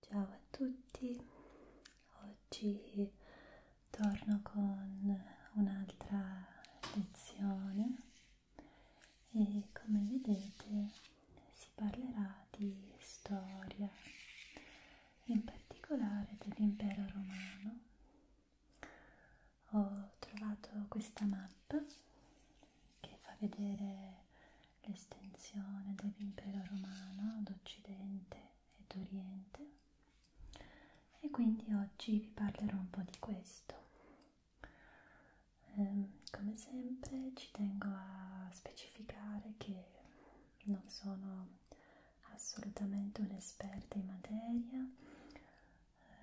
Ciao a tutti, oggi torno con un'altra lezione e come vedete si parlerà di storia, in particolare dell'impero romano. Ho trovato questa mappa che fa vedere l'estensione dell'impero romano ad occidente ed oriente e quindi oggi vi parlerò un po' di questo. Ehm, come sempre ci tengo a specificare che non sono assolutamente un'esperta in materia,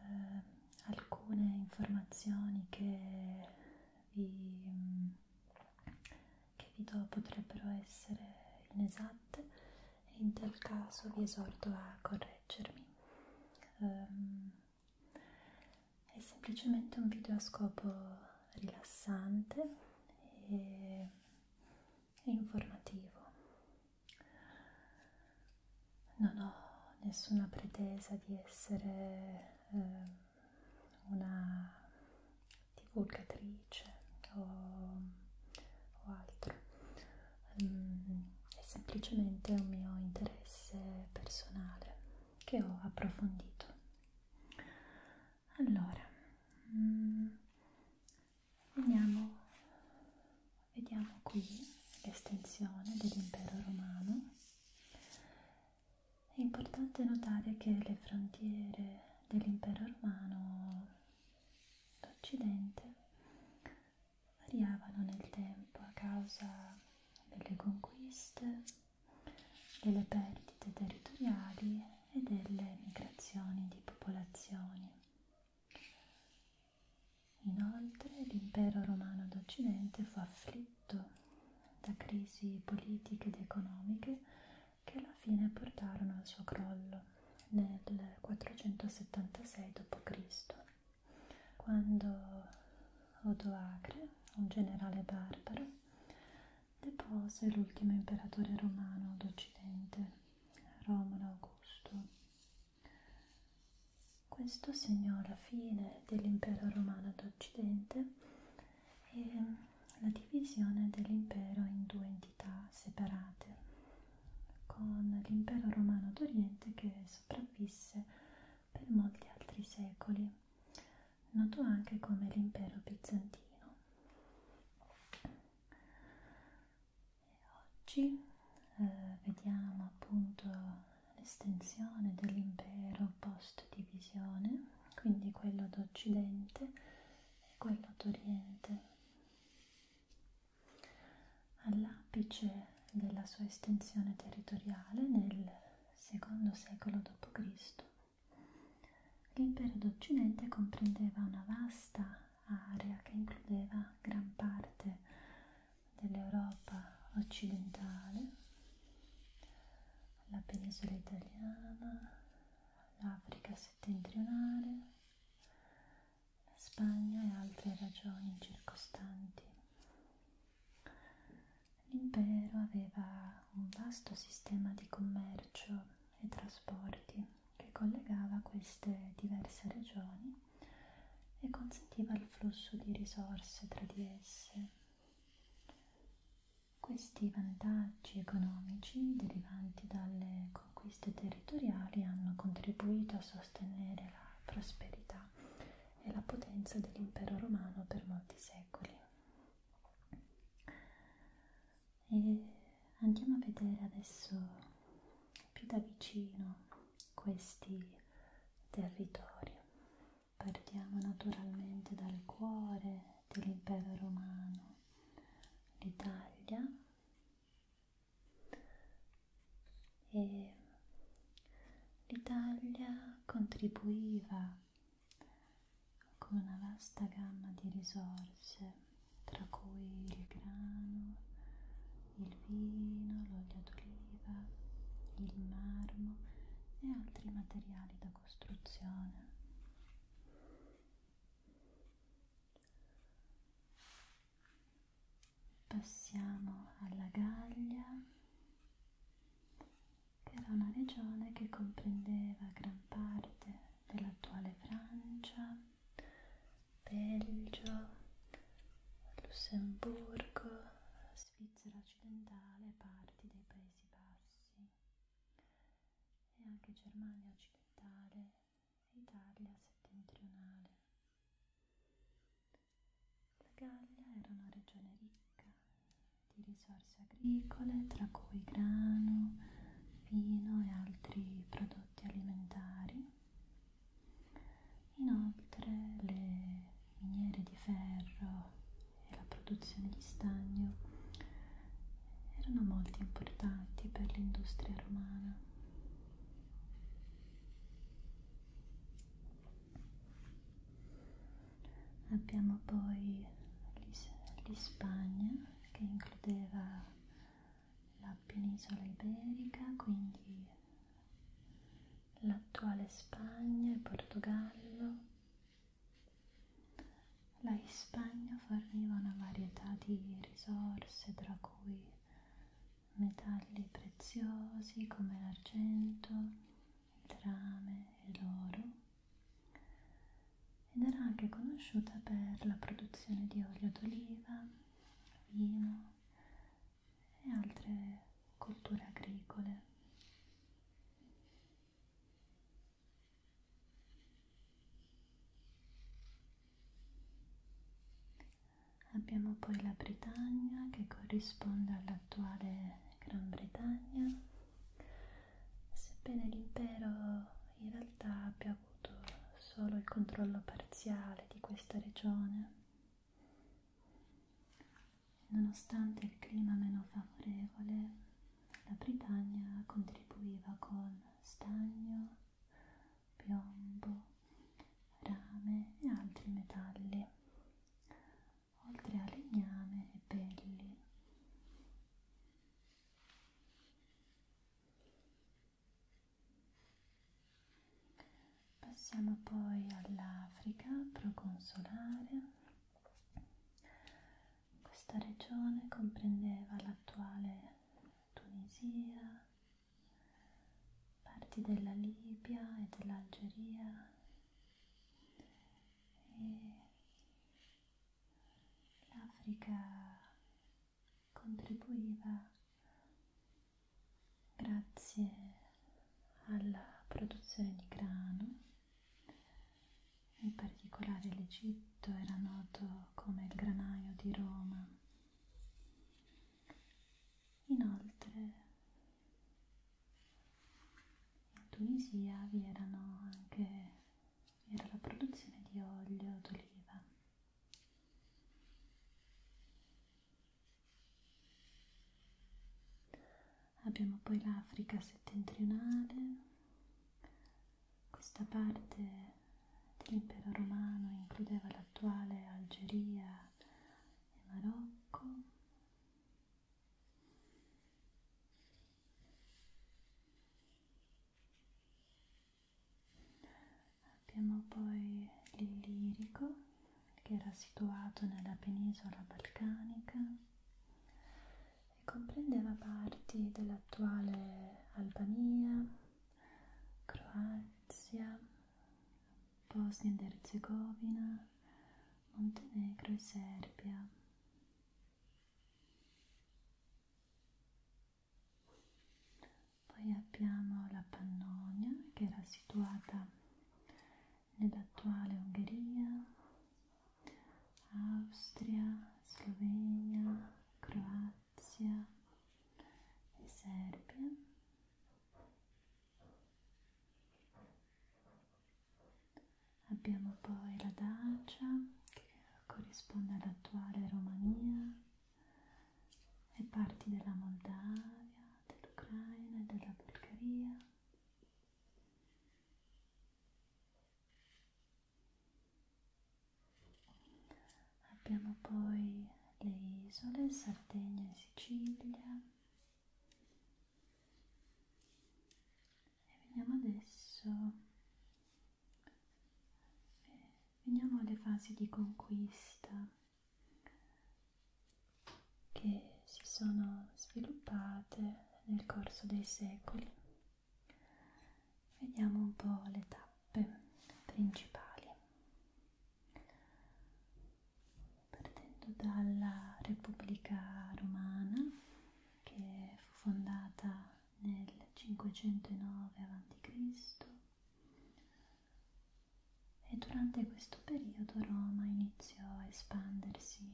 ehm, alcune informazioni che vi che vi do potrebbero essere inesatte e in tal caso vi esorto a correggermi. Um, è semplicemente un video a scopo rilassante e informativo. Non ho nessuna pretesa di essere eh, una divulgatrice o, o altro, um, è semplicemente un mio interesse personale che ho approfondito. Allora, um, mm, veniamo, vediamo qui l'estensione dell'impero romano è importante notare che le frontiere dell'impero romano d'Occidente variavano nel tempo a causa delle conquiste, delle perdite territoriali e delle migrazioni di popolazioni. Inoltre l'impero romano d'Occidente fu afflitto da crisi politiche ed economiche che alla fine portarono al suo crollo nel 476 d.C., quando Odoacre, un generale barbaro, depose l'ultimo imperatore romano d'Occidente, Romolo Augusto. Questo segnò la fine dell'impero romano d'Occidente e la divisione dell'impero in due entità separate, con l'impero romano d'Oriente che sopravvisse per molti altri secoli, noto anche come l'impero bizantino. E oggi eh, vediamo appunto l'estensione dell'impero post divisione quindi quello d'Occidente e quello d'Oriente. All'apice della sua estensione territoriale nel secondo secolo d.C., l'impero d'Occidente comprendeva una vasta area che includeva gran parte dell'Europa occidentale, la penisola italiana, l'Africa settentrionale, la Spagna e altre ragioni circostanti. L'impero aveva un vasto sistema di commercio e trasporti che collegava queste diverse regioni e consentiva il flusso di risorse tra di esse. Questi vantaggi economici derivanti dalle conquiste territoriali hanno contribuito a sostenere la prosperità e la potenza dell'impero romano per molti secoli. E andiamo a vedere adesso più da vicino questi territori. Partiamo naturalmente dal cuore dell'impero romano, l'Italia, e l'Italia contribuiva con una vasta gamma di risorse, tra cui il grano, il vino, l'olio d'oliva, il marmo e altri materiali da costruzione. Passiamo alla Gallia, che era una regione che comprendeva gran parte dell'attuale Francia, Belgio, Lussemburgo, Svizzera occidentale e parti dei Paesi Bassi e anche Germania occidentale e Italia settentrionale. La Gallia era una regione ricca di risorse agricole, tra cui grano, vino e altri prodotti alimentari. Inoltre le miniere di ferro e la produzione di stagno erano molto importanti per l'industria romana. Abbiamo poi l'Ispagna che includeva la penisola iberica, quindi l'attuale Spagna e Portogallo la Spagna forniva una varietà di risorse, tra cui metalli preziosi come l'argento, il rame e l'oro, ed era anche conosciuta per la produzione di olio d'oliva, vino e altre colture agricole. Abbiamo poi la Britannia che corrisponde all'attuale Gran Bretagna, sebbene l'impero in realtà abbia avuto solo il controllo parziale di questa regione. Nonostante il clima meno favorevole, la Britannia contribuiva con stagno, piombo, rame e altri metalli, oltre a legname e pelli. Passiamo poi all'Africa proconsolare questa regione comprendeva l'attuale Tunisia, parti della Libia e dell'Algeria e l'Africa contribuiva grazie alla produzione di grano in particolare l'Egitto era noto come il granaio di Roma. Inoltre in Tunisia vi erano anche vi era la produzione di olio d'oliva abbiamo poi l'Africa settentrionale, questa parte dell'impero romano includeva l'attuale Algeria e Marocco. Abbiamo poi l'Illirico che era situato nella penisola balcanica e comprendeva parti dell'attuale Albania, Croazia, Bosnia ed Erzegovina, Montenegro e Serbia. Poi abbiamo la Pannonia che era situata nell'attuale Ungheria, Austria, Slovenia, Croazia e Serbia. Abbiamo poi la Dacia che corrisponde all'attuale Romania e parti della Moldavia, dell'Ucraina e della Bulgaria. Abbiamo poi le isole, Sardegna e Sicilia. E veniamo adesso, veniamo alle fasi di conquista che si sono sviluppate nel corso dei secoli. Vediamo un po' le tappe principali. Partendo dalla Repubblica Romana che fu fondata nel 509 a.C. e durante questo periodo Roma iniziò a espandersi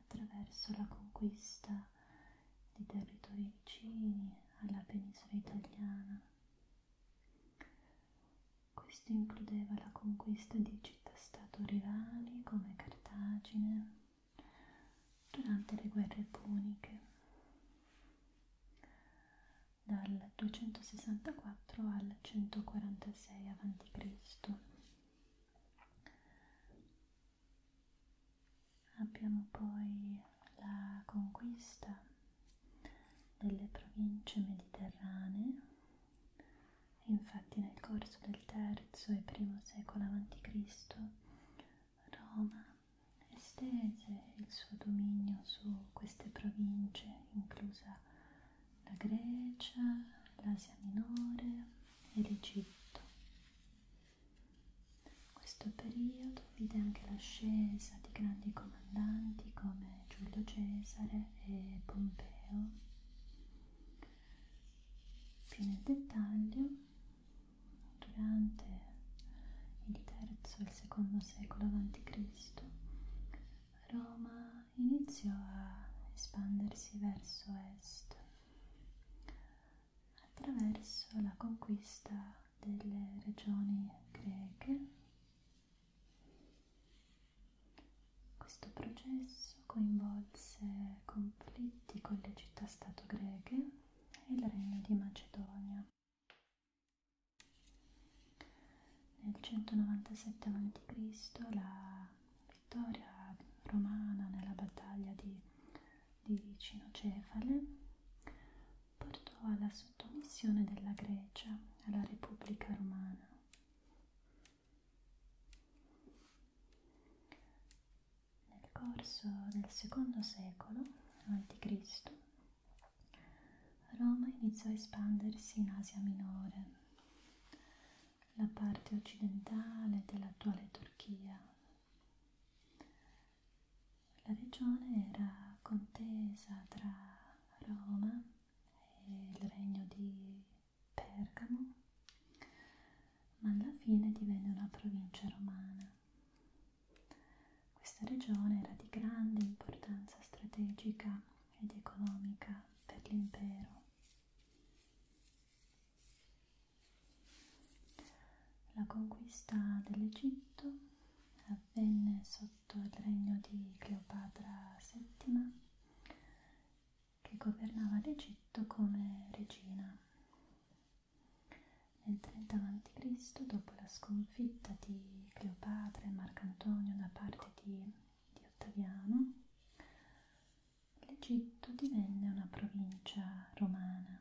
attraverso la conquista di territori vicini alla penisola italiana. Questo includeva la conquista di città-stato rivali come Cartagine durante le guerre puniche dal 264 al 146 a.C. Abbiamo poi la conquista delle province mediterranee, infatti nel corso del III e I secolo a.C. Roma estese il suo dominio su queste province, inclusa la Grecia, l'Asia Minore, e l'Egitto. Questo periodo vide anche l'ascesa di grandi comandanti come Giulio Cesare e Pompeo. Più nel dettaglio, durante il III e il secondo secolo a.C., Roma iniziò a espandersi verso est attraverso la conquista delle regioni greche. Questo processo coinvolse conflitti con le città-stato greche e il regno di Macedonia. Nel 197 a.C. la vittoria romana nella battaglia di, di Cinocefale portò alla sottomissione della Grecia alla Repubblica Romana. Nel corso del secondo secolo a.C. Roma iniziò a espandersi in Asia Minore la parte occidentale dell'attuale Turchia. La regione era contesa tra Roma e il regno di Pergamo, ma alla fine divenne una provincia romana. Questa regione era di grande importanza strategica ed economica per l'impero. La conquista dell'Egitto avvenne sotto il regno di Cleopatra VII che governava l'Egitto come regina. Nel 30 a.C., dopo la sconfitta di Cleopatra e Marcantonio da parte di, di Ottaviano, l'Egitto divenne una provincia romana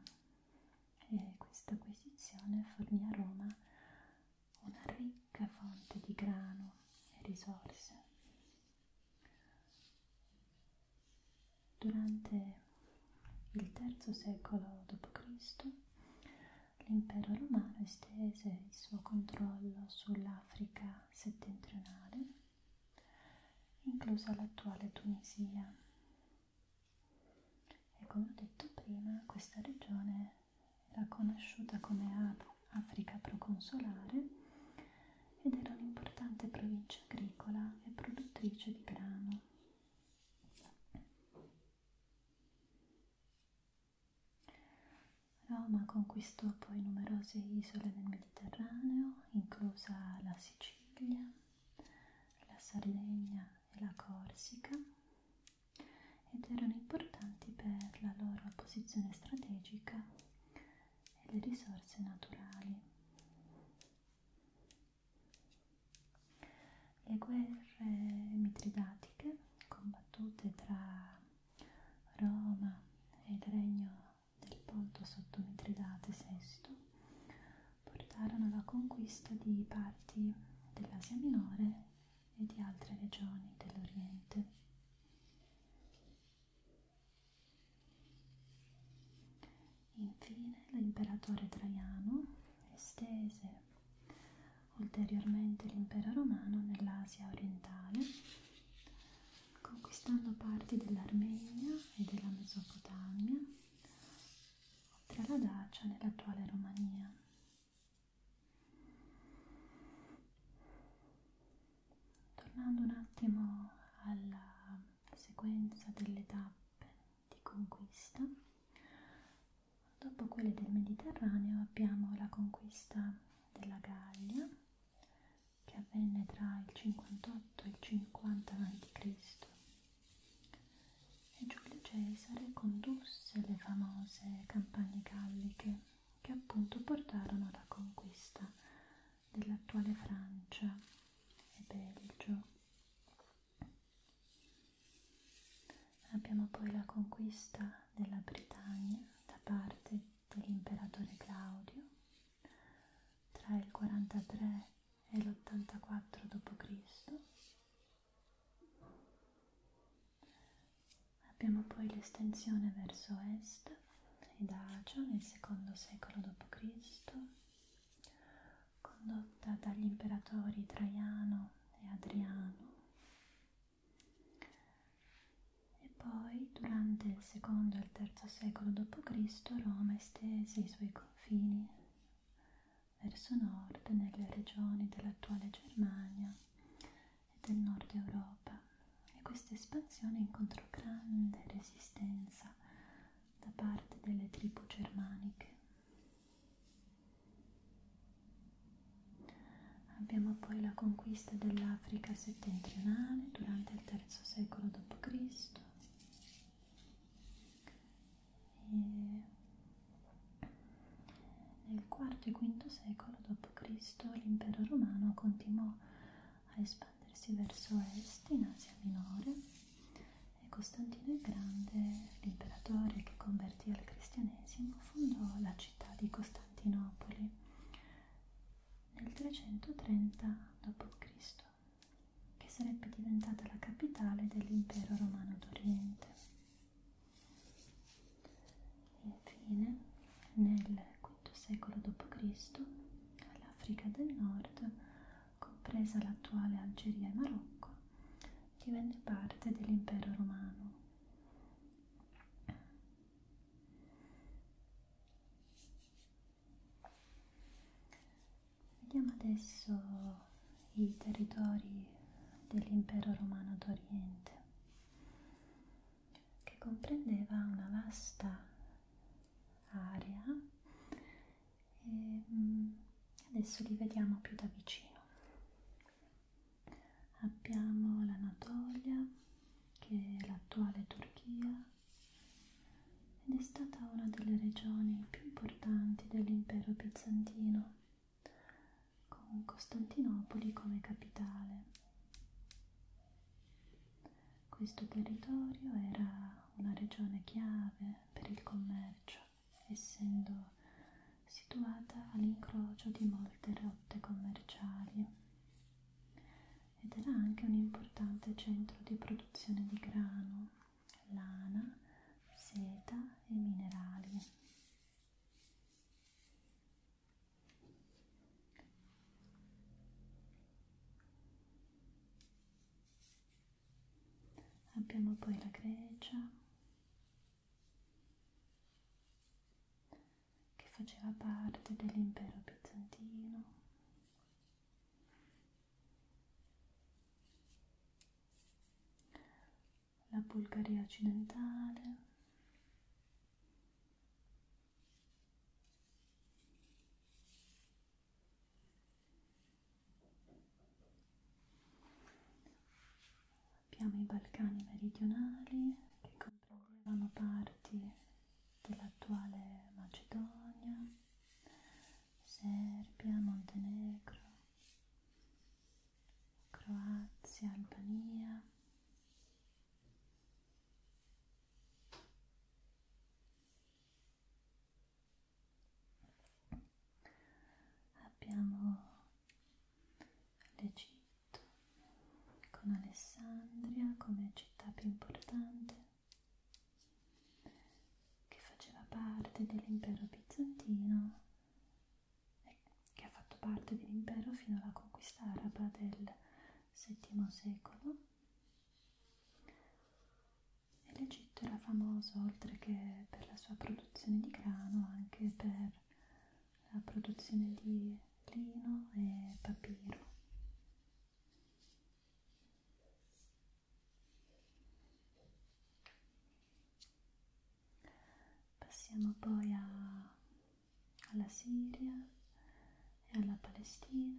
e questa acquisizione fornì a Roma una ricca fonte di grano e risorse. Durante il III secolo d.C. l'impero romano estese il suo controllo sull'Africa settentrionale inclusa l'attuale Tunisia. E come ho detto prima, questa regione era conosciuta come Africa proconsolare ed era un'importante provincia agricola e produttrice di grano. Roma conquistò poi numerose isole nel Mediterraneo, inclusa la Sicilia, la Sardegna e la Corsica, ed erano importanti per la loro posizione strategica e le risorse naturali. Le guerre mitridatiche combattute tra Roma e il regno del volto sotto Mitridate VI portarono alla conquista di parti dell'Asia Minore e di altre regioni dell'Oriente. Infine l'imperatore Traiano estese ulteriormente l'impero romano nell'Asia orientale conquistando parti dell'Armenia e della Mesopotamia, oltre alla Dacia nell'attuale Romania. Tornando un attimo alla sequenza delle tappe di conquista, dopo quelle del Mediterraneo abbiamo la conquista della Gallia che avvenne tra il 58 e il 50 a.C. e Giulio Cesare condusse le famose campagne galliche che appunto portarono alla conquista dell'attuale Francia e Belgio. Abbiamo poi la conquista della Britannia da parte dell'imperatore Claudio tra il 43 e l'84 d.C. Abbiamo poi l'estensione verso est ed Acio nel secondo secolo d.C., condotta dagli imperatori Traiano e Adriano e poi durante il secondo e il terzo secolo d.C. Roma estese i suoi confini verso nord nelle regioni dell'attuale Germania e del nord Europa e questa espansione incontrò grande resistenza da parte delle tribù germaniche. Abbiamo poi la conquista dell'Africa settentrionale durante il III secolo d.C. e nel IV e V secolo d.C. l'impero romano continuò a espandersi verso est in Asia Minore e Costantino il Grande, l'imperatore che convertì al cristianesimo, fondò la città di Costantinopoli nel 330 d.C., che sarebbe diventata la capitale dell'impero romano d'Oriente. Infine, nel V secolo d.C., l'Africa del Nord, compresa l'attuale Algeria e Marocco, divenne parte dell'impero romano. Vediamo adesso i territori dell'impero romano d'Oriente, che comprendeva una vasta area e ehm, adesso li vediamo più da vicino. Abbiamo l'Anatolia, che è l'attuale Turchia ed è stata una delle regioni più importanti dell'impero bizantino, con Costantinopoli come capitale. Questo territorio era una regione chiave per il commercio, essendo situata all'incrocio di molte rotte commerciali ed era anche un importante centro di produzione di grano, lana, seta e minerali. Abbiamo poi la Grecia che faceva parte dell'impero bizantino la Bulgaria occidentale, abbiamo i Balcani meridionali che comprendevano parti dell'attuale Macedonia, Serbia, Montenegro, Croazia, Albania. Abbiamo l'Egitto con Alessandria come città più importante che faceva parte dell'impero bizantino e che ha fatto parte dell'impero fino alla conquista araba del VII secolo. E L'Egitto era famoso oltre che per la sua produzione di grano anche per la produzione di lino e papiro. Passiamo poi a, alla Siria e alla Palestina.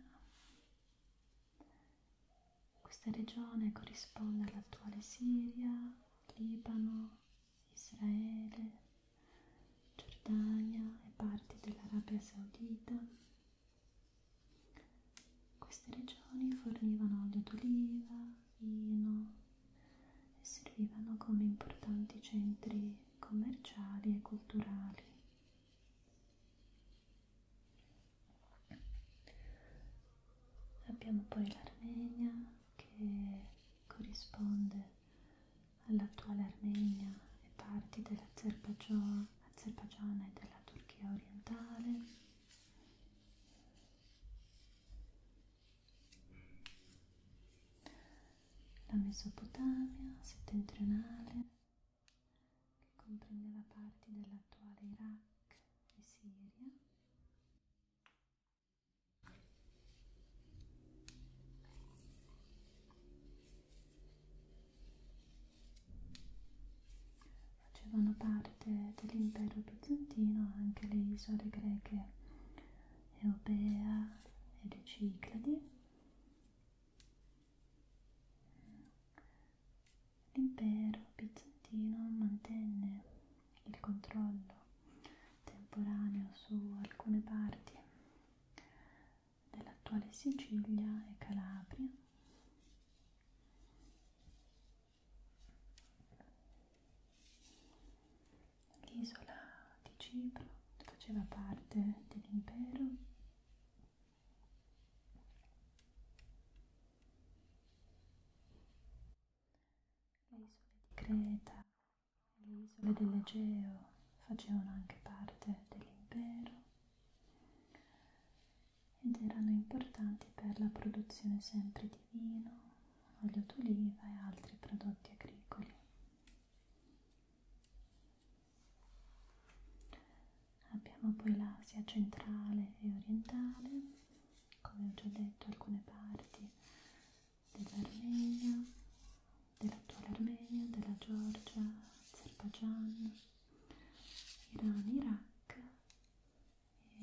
Questa regione corrisponde all'attuale Siria, Libano, Israele, Giordania e parti dell'Arabia Saudita. Queste regioni fornivano olio d'oliva, vino e servivano come importanti centri commerciali e culturali. Abbiamo poi l'Armenia che corrisponde all'attuale Armenia e parti dell'Azerbaigian Azerbaigian e della Turchia orientale la Mesopotamia settentrionale che comprendeva parti dell'attuale Iraq e Siria Facevano parte dell'impero bizantino anche le isole greche Eubea e le Cicladi. L'impero bizantino mantenne il controllo temporaneo su alcune parti dell'attuale Sicilia e Calabria. L'isola di Cipro faceva parte dell'impero. Le isole di Creta e le isole dell'Egeo facevano anche parte dell'impero ed erano importanti per la produzione sempre di vino, olio d'oliva e altri prodotti agricoli. Abbiamo poi l'Asia centrale e orientale, come ho già detto alcune parti dell'Armenia, dell'attuale Armenia, della Georgia, Azerbaijan, Iran, Iraq e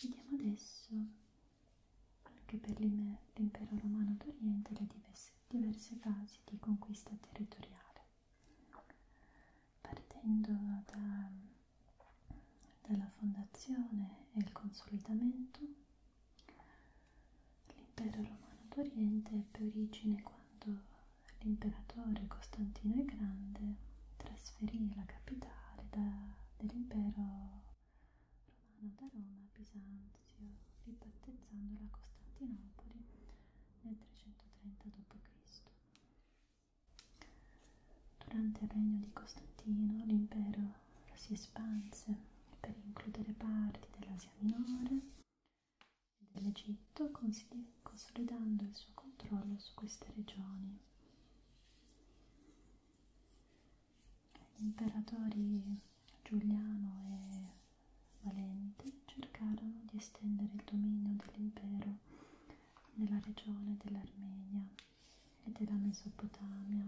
vediamo adesso anche per l'impero romano d'Oriente le diverse, diverse fasi di conquista territoriale partendo da, dalla fondazione e il consolidamento L'impero romano d'Oriente ebbe origine quando l'imperatore Costantino il Grande trasferì la capitale dell'impero romano da Roma a Bisanzio, ribattezzandola a Costantinopoli nel 330 d.C. Durante il regno di Costantino l'impero si espanse per includere parti dell'Asia minore e dell'Egitto, consolidando il suo controllo su queste regioni. Gli imperatori Giuliano e Valente cercarono di estendere il dominio dell'impero nella regione dell'Armenia e della Mesopotamia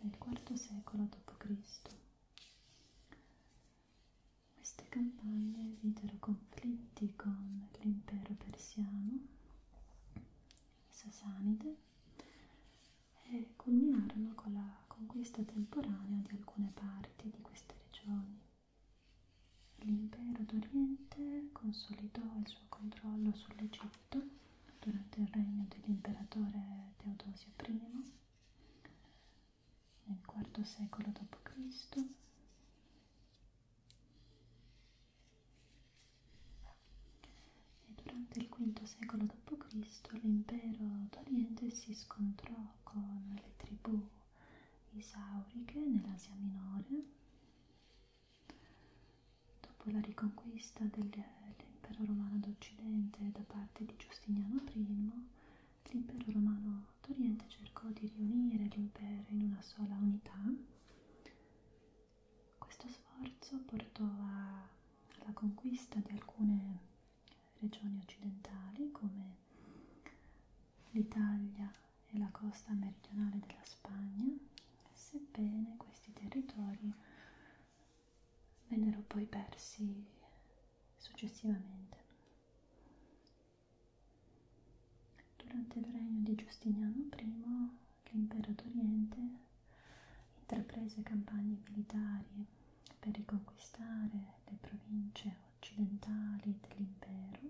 nel IV secolo d.C. Queste campagne videro conflitti con l'impero persiano, i Sasanide, e culminarono con la conquista temporanea di alcune parti di queste regioni. L'impero d'Oriente consolidò il suo controllo sull'Egitto fatto durante il regno dell'imperatore Teodosio I nel IV secolo d.C. e durante il V secolo d.C. l'impero d'Oriente si scontrò con le tribù isauriche nell'Asia Minore Dopo la riconquista dell'impero romano d'Occidente da parte di Giustiniano I, l'impero romano d'Oriente cercò di riunire l'impero in una sola unità. Questo sforzo portò a, alla conquista di alcune regioni occidentali come l'Italia e la costa meridionale della Spagna, sebbene questi territori vennero poi persi successivamente. Durante il regno di Giustiniano I, l'impero d'Oriente intraprese campagne militari per riconquistare le province occidentali dell'impero.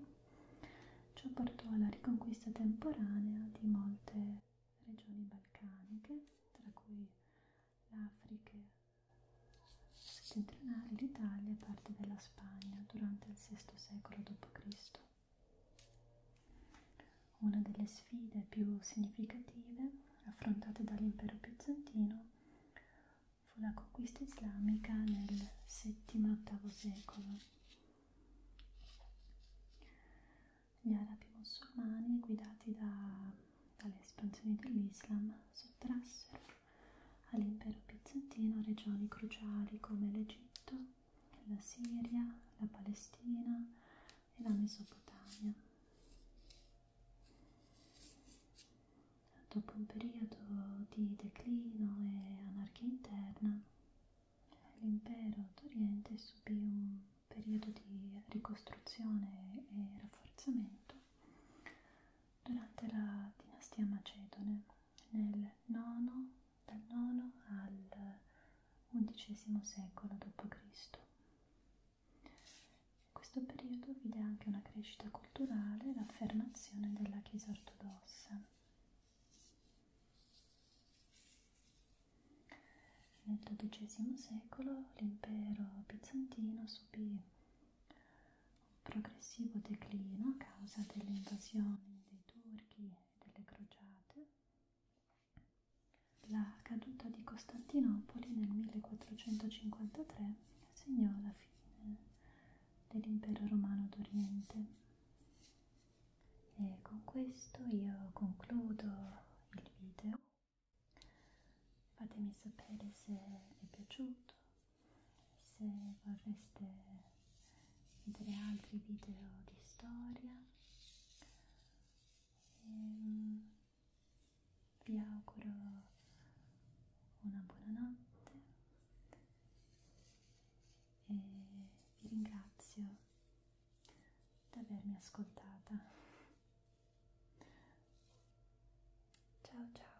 Ciò portò alla riconquista temporanea di molte regioni balcaniche, tra cui l'Africa settentrionale, l'Italia e parte della Spagna durante il VI secolo d.C. Una delle sfide più significative affrontate dall'impero bizantino fu la conquista islamica nel VII-VIII secolo gli arabi musulmani guidati da, dalle espansioni dell'Islam sottrassero all'impero bizantino regioni cruciali come l'Egitto, la Siria, la Palestina e la Mesopotamia. Dopo un periodo di declino e anarchia interna, l'impero d'Oriente subì un periodo di ricostruzione e rafforzamento durante la dinastia macedone nel nono, dal IX al XI secolo d.C. Questo periodo vide anche una crescita culturale e l'affermazione della Chiesa ortodossa. Nel XII secolo l'impero bizantino subì un progressivo declino a causa delle invasioni dei turchi e delle crociate. La caduta di Costantinopoli nel 1453 segnò la fine dell'impero romano d'Oriente. E con questo io concludo il video. Fatemi sapere se è piaciuto, se vorreste vedere altri video di storia. E ehm, vi auguro una buona notte e vi ringrazio di avermi ascoltata. Ciao ciao.